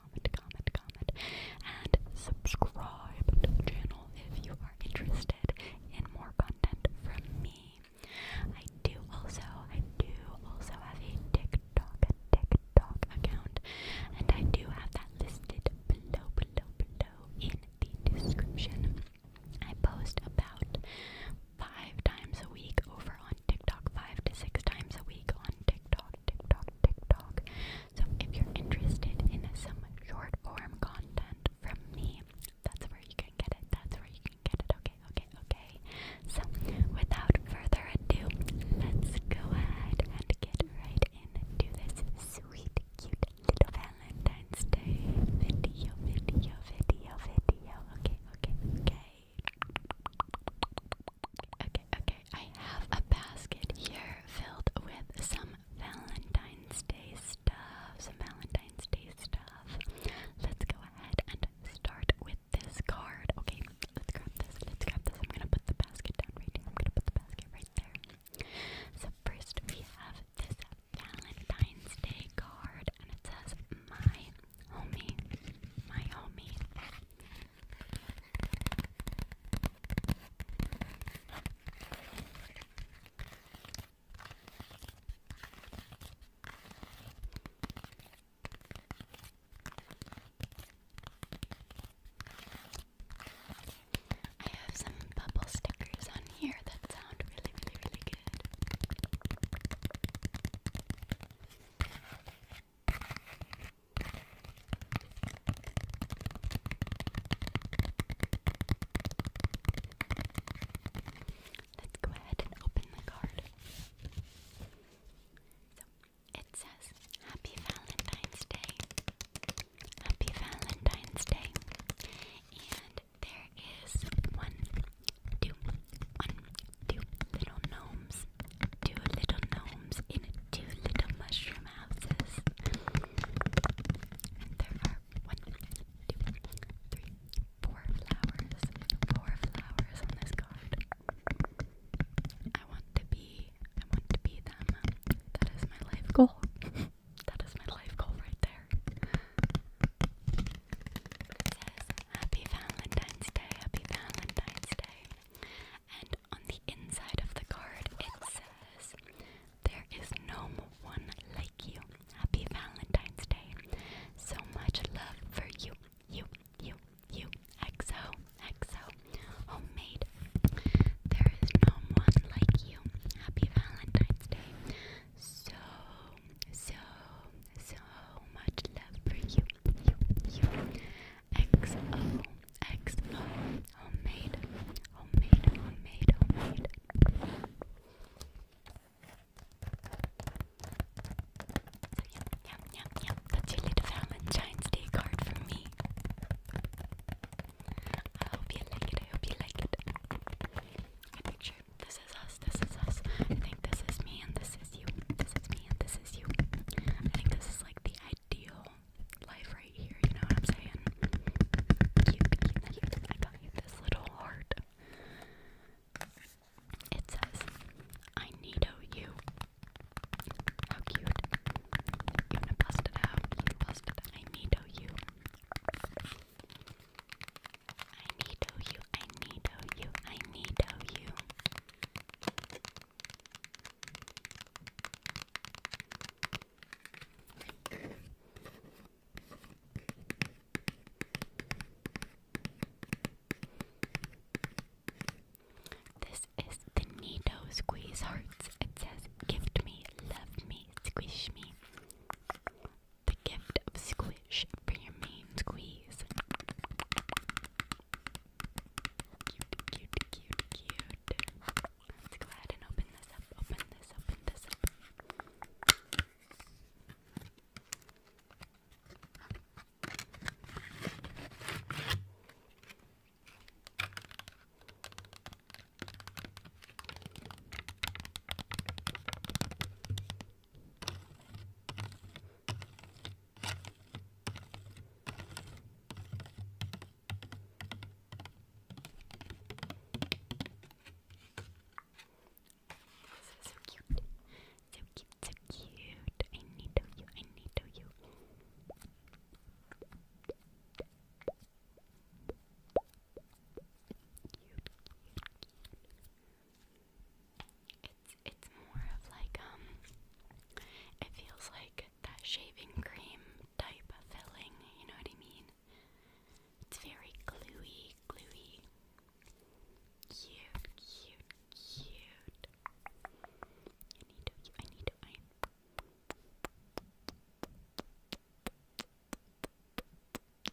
comment, comment, comment, and subscribe to the channel if you are interested in more content from me. I do also, I do also have a TikTok, TikTok account, and I do have that listed below, below, below in the description. I post about five times a week over on TikTok, five to six times a week on TikTok. TikTok, TikTok, TikTok. So if you're interested in some short form content from me, that's where you can get it. That's where you can get it. Okay, okay, okay. So without further ado, let's go ahead and get right into this sweet, cute little Valentine's Day video, video, video, video. Okay, okay, okay. Okay, okay. I have a basket here filled with some Valentine's Day stuff. Some Valentine's Day stuff. Let's go ahead and start with this card. Okay, let's grab this. Let's grab this. I'm gonna put the basket down right here. I'm gonna put the basket right there. So first we have this Valentine's Day card and it says my homie. My homie. I have some bubble stickers on here that sound really, really, really good. Let's go ahead and open the card. So it says, Happy Valentine's Day. Happy Valentine's Day. And there is one two, one, two little gnomes, two little gnomes in two little mushroom houses. And there are one, two, three, four flowers, four flowers on this card. I want to be, I want to be them. That is my life goal. that is my life goal right there. Happy Valentine's Day, happy Valentine's Day. And on the inside of the card, it says, There is no one like you. Happy Valentine's Day. So much love for you, you, you, you. XO, XO, homemade. There is no one like you. Happy Valentine's Day. So, so, so much love for you you, homemade, homemade, homemade, homemade. So, yep, yep, yep, That's your little Valentine's Day card for me. I hope you like it. I hope you like it. I picture this is us this is us. I think this is me and this is you. This is me and this is you. I think this is like the ideal life right here, you know what I'm saying? I got you this little heart. It says, I need you. How cute. You wanna bust it out? I need you. I need you. I need you. I need you. This is the Nido Squeeze Hearts. It says, Gift me, love me, squish me. The gift of squeeze fish for your main squeeze. Cute, cute, cute, cute. go ahead and open this up, open this, open this up. This is so cute. So cute, so cute. I need you, I need you. Cute, cute, cute. It's it's more of like um it feels like that shaving cream type of filling, you know what I mean? It's very gluey, gluey. Cute, cute, cute. I need to I need to I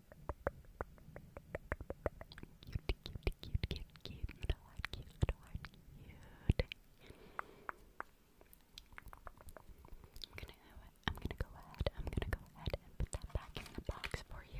Cute, I'm gonna, go ahead. I'm gonna go ahead and put that back in the box for you.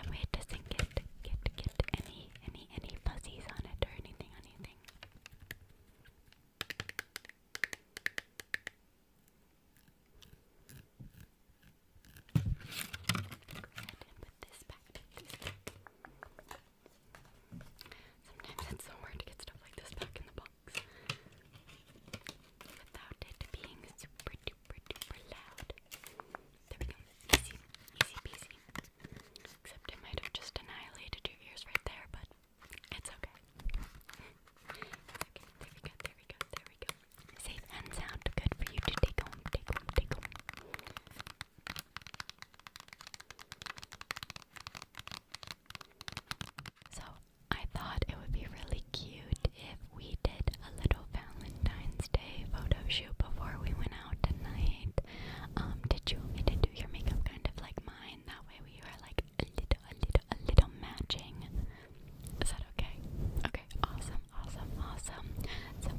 That way it doesn't get, get, get any, any, any fuzzies on it or anything, anything ahead and Sometimes it's so hard to get stuff like this back in the box without it being super duper duper loud. There we go. Easy, easy peasy. Except I might have just annihilated your ears right there, but it's okay. okay. There we go, there we go, there we go. Safe and sound. Good for you to take home, take home, take home. So, I thought it would be really cute if we did a little Valentine's Day photo shoot before we went out tonight. Um, did you want me to do your makeup kind of like mine? That way we were like a little, a little, a little matching. Is that okay? Okay, awesome, awesome, awesome. So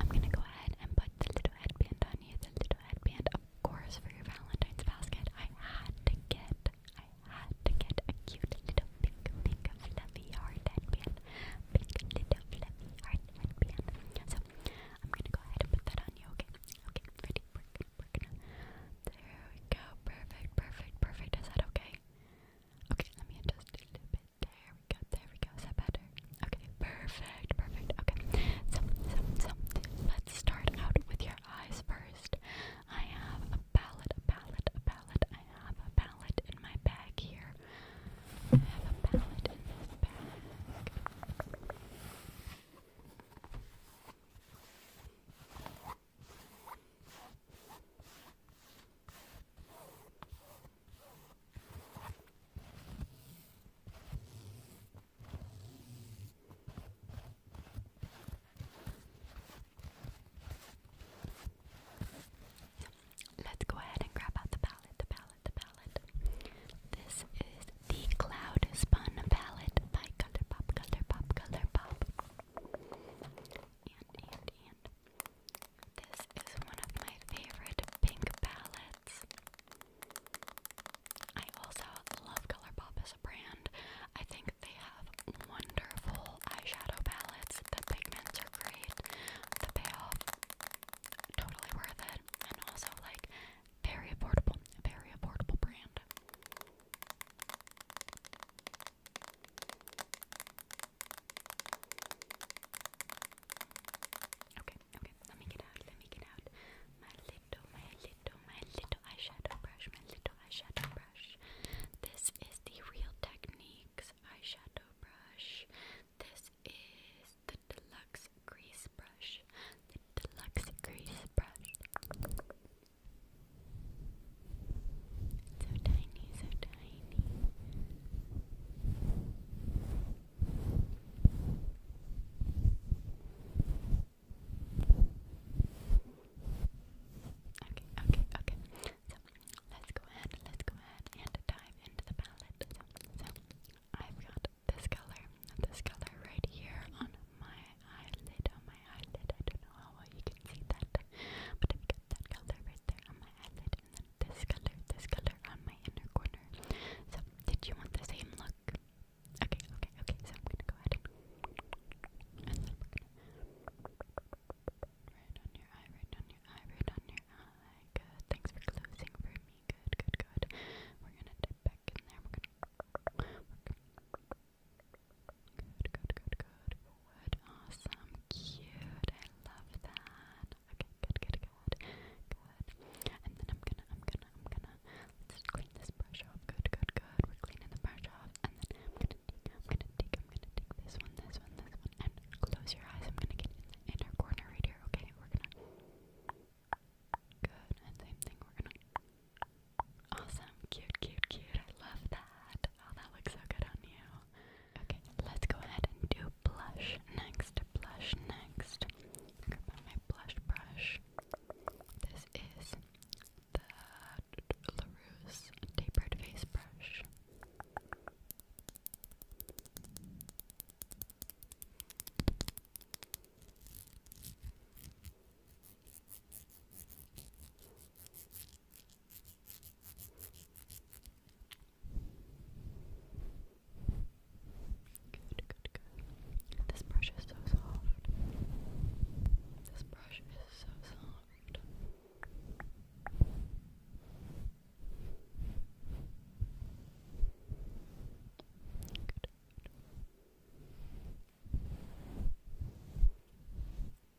I'm gonna go ahead and put the little headband on you, the little headband, of course, for your Valentine's basket. I had to get I had to get a cute little pink, pink, fluffy heart headband. Pink little fluffy heart headband. So I'm gonna go ahead and put that on you, okay? Okay, ready? We're gonna, There we go. Perfect, perfect, perfect. Is that okay? Okay, let me adjust a little bit. There we go, there we go. Is that better? Okay, perfect, perfect. Okay, so, so, so, let's start out with your eyes first. I have a palette, a palette, a palette. I have a palette in my bag here. I have a palette in this bag. Let's go ahead and grab out the palette, the palette, the palette. This is the Cloud Spun palette by Color Pop, Color And, and, and. This is one of my favorite pink palettes. I also love Colourpop as a brand. I think they have wonderful eyeshadow palettes. The pigments are great. The payoff totally worth it. And also like very affordable, very affordable brand. Okay, okay, let me get out, let me get out. My little, my little, my little eyeshadow brush, my little eyeshadow brush. This is the Real Techniques eyeshadow brush. This is the Deluxe Grease Brush. The Deluxe Grease Brush. So tiny, so tiny. Okay, okay, okay. So let's go ahead, let's go ahead and dive into the palette. So, so I've got this color, this color right here on my eyelid, um, my eyelid. I don't know how well you can see that, but I've got that color right there on my eyelid, and this color, this color on my inner corner. So, did you want the same look? Okay, okay, okay. So I'm gonna go ahead and, right on your eye, right on your eye, right on your eye. Good. Thanks for closing for me. Good, good, good. We're gonna dip back in there. We're gonna Good, good, good, good. Good, awesome, cute. I love that. Okay, good, good, good, good. And then I'm gonna, I'm gonna, I'm gonna. clean this brush off. Good, good, good. We're cleaning the brush off, and then I'm gonna I'm gonna I'm gonna take this one, this one, this one, and close your eyes. I'm gonna get in the inner corner right here. Okay, we're gonna. Good, and same thing. We're gonna. Awesome, cute, cute, cute. I love that. Oh, that looks so good on you. Okay, let's go ahead and do blush next. Blush next. Grab my blush brush. This is the LaRousse Tapered Face Brush. Good, good, good. This brush is so soft. This brush is so soft. Good.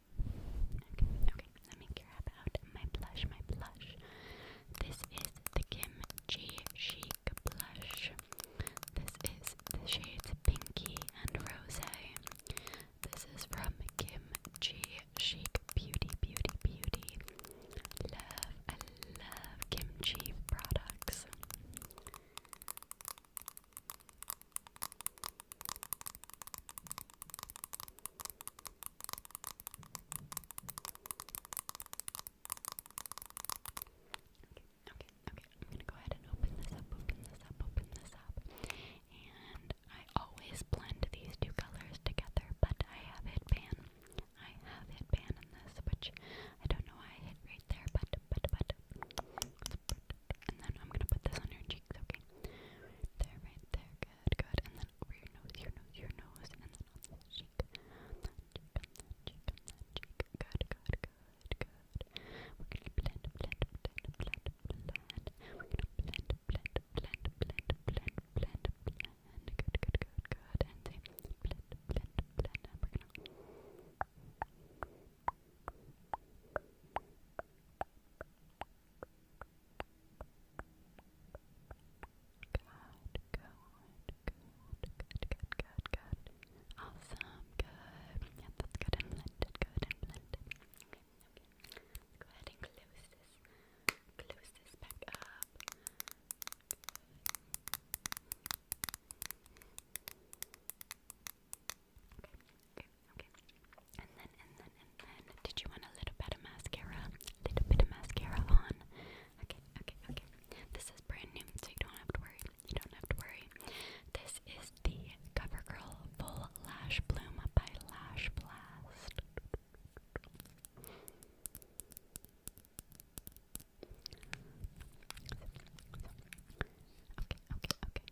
Okay, okay, let me grab out my blush, my blush. This is the Kim G Chic blush. This is the shades Pinky and Rose. This is from Kim G Chic Beauty, Beauty, Beauty. Love, I love Kim G products. Okay, okay, I'm gonna go ahead and open this up, open this up, open this up. And I always blend these two colors together, but I have it pan. I have it pan in this, which I don't know why I hit right there, but but but and then I'm gonna put this on your cheeks, okay? there, right there, good, good, and then over your nose, your nose, your nose, and then on this cheek, on that cheek, cheek, cheek, good, good, good, good. We're gonna blend, blend, blend, blend, blend. We're gonna blend, blend, blend, blend, blend, blend, blend. Good, good, good, good, and blend, blend, blend, we're gonna good, good, good. Awesome, good. Yep, good and good and blended. Okay, okay. Let's go ahead and close this. Close this back up. Okay, okay. And then, and then, and then, did you want a little bit of mascara? Little bit of mascara on. Okay, okay, okay. This is brand new, so you don't have to worry. You don't have to worry. This is the CoverGirl Full Lash Bloom by Lash Blast. Okay, okay, okay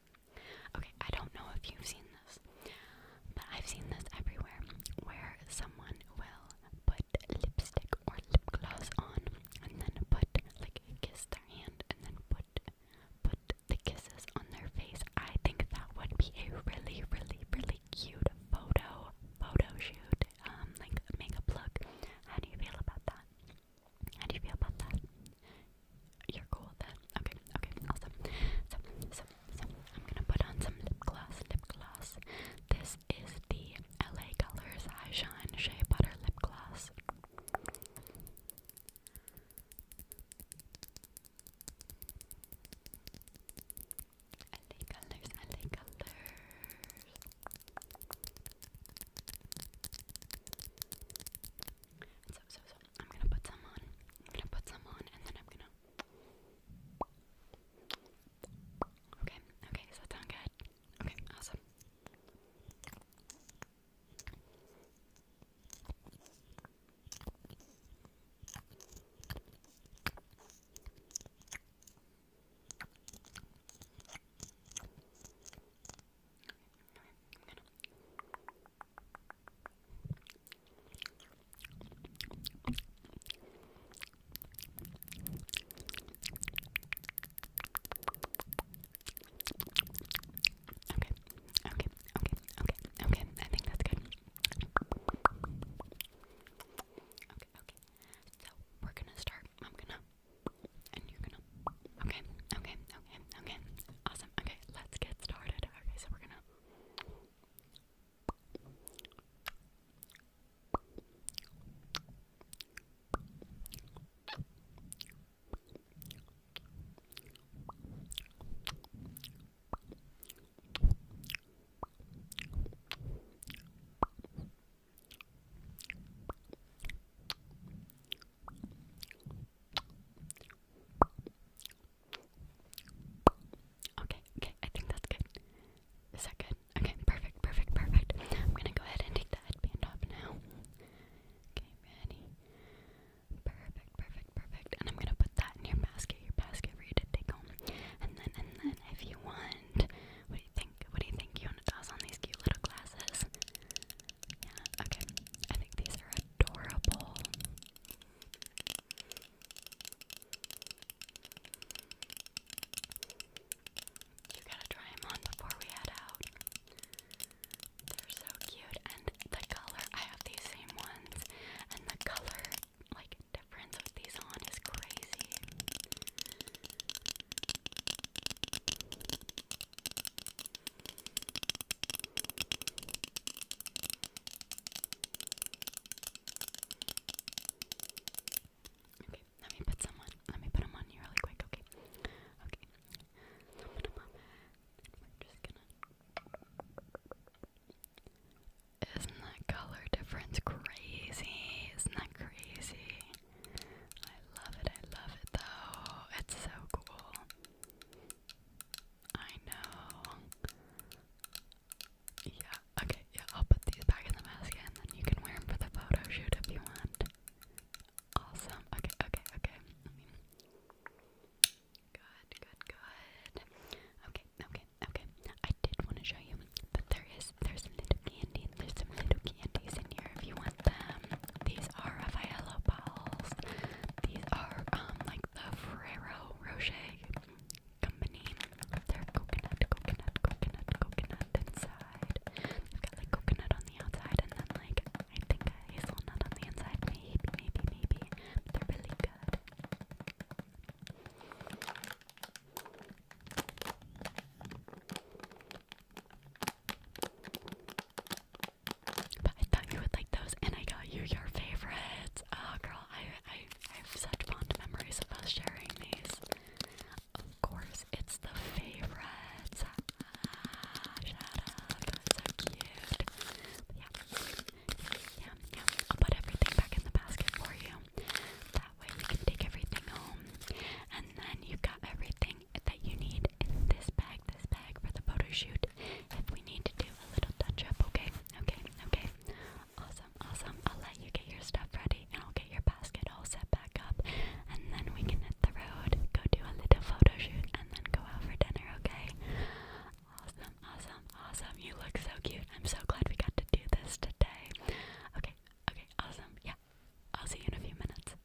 Okay, I don't know if you've seen this, but I've seen this everywhere where someone will put lipstick or lip gloss on and then put, like, kiss their hand and then put put the kisses on their face. I think that would be a really, really, really cute photo photo shoot, um, like makeup look. How do you feel about that? How do you feel about that? You're cool then. Okay, okay, awesome. So, so, so, I'm gonna put on some lip gloss, lip gloss. This is the LA Colors High Shine Shea Butter Lip Gloss. LA Colors, LA Colors. I'm gonna put some on. I'm gonna put some on, and then I'm gonna. Okay, okay, does that sound good? Okay, awesome. Okay, okay, okay, okay, okay. I think that's good. Okay, okay. So we're gonna start. I'm gonna, and you're gonna. Okay, okay, okay, okay, Awesome. Okay, let's get started. Okay, so we're gonna. Okay, okay, I think that's good. Is that good? Okay, perfect, perfect, perfect. I'm gonna go ahead and take the headband off now. Okay, ready? Perfect, perfect, perfect. And I'm gonna put that in your basket, your basket for you to take home. And then, and then, if you want, what do you think? What do you think? You want on these cute little glasses? Yeah, okay. I think these are adorable. You gotta try them on before we head out. They're so cute, and the color, I have these same ones, and the color, like, difference with these on is crazy. Okay, let me put someone. Let me put them on you really quick. Okay, okay. So put them on. We're just gonna. Isn't that color difference crazy? Isn't that crazy? I love it. I love it though. It's so cool. I know. Yeah, okay, yeah, I'll put these back in the basket and then you can wear them for the photo shoot if you want. Awesome. Okay, okay, okay. I mean, good, good, good. Okay, okay, okay. I did want to show you, but there is, there's some little candy and there's some little candies in here if you want them. These are Raffaello balls. These are um like the Ferrero Rocher company. They're coconut, coconut, coconut, coconut inside. They've got like coconut on the outside and then like I think a hazelnut on the inside. Maybe, maybe, maybe. But they're really good. But I thought you would like those, and I got you your favorites. Oh, girl, I, I, have such fond memories about sharing these. Of course, it's the favorites. Ah, shut up. So cute. Yeah. Yeah, yeah. I'll put everything back in the basket for you. That way you can take everything home. And then you have got everything that you need in this bag, this bag for the photo If we need to do a little touch up, okay? Okay, okay. Awesome, awesome. I'll let you get your stuff ready and I'll get your basket all set back up and then we can hit the road, go do a little photo and then go out for dinner, okay? Awesome, awesome, awesome. You look so cute. I'm so glad we got to do this today. Okay, okay, awesome. Yeah. I'll see you in a few minutes.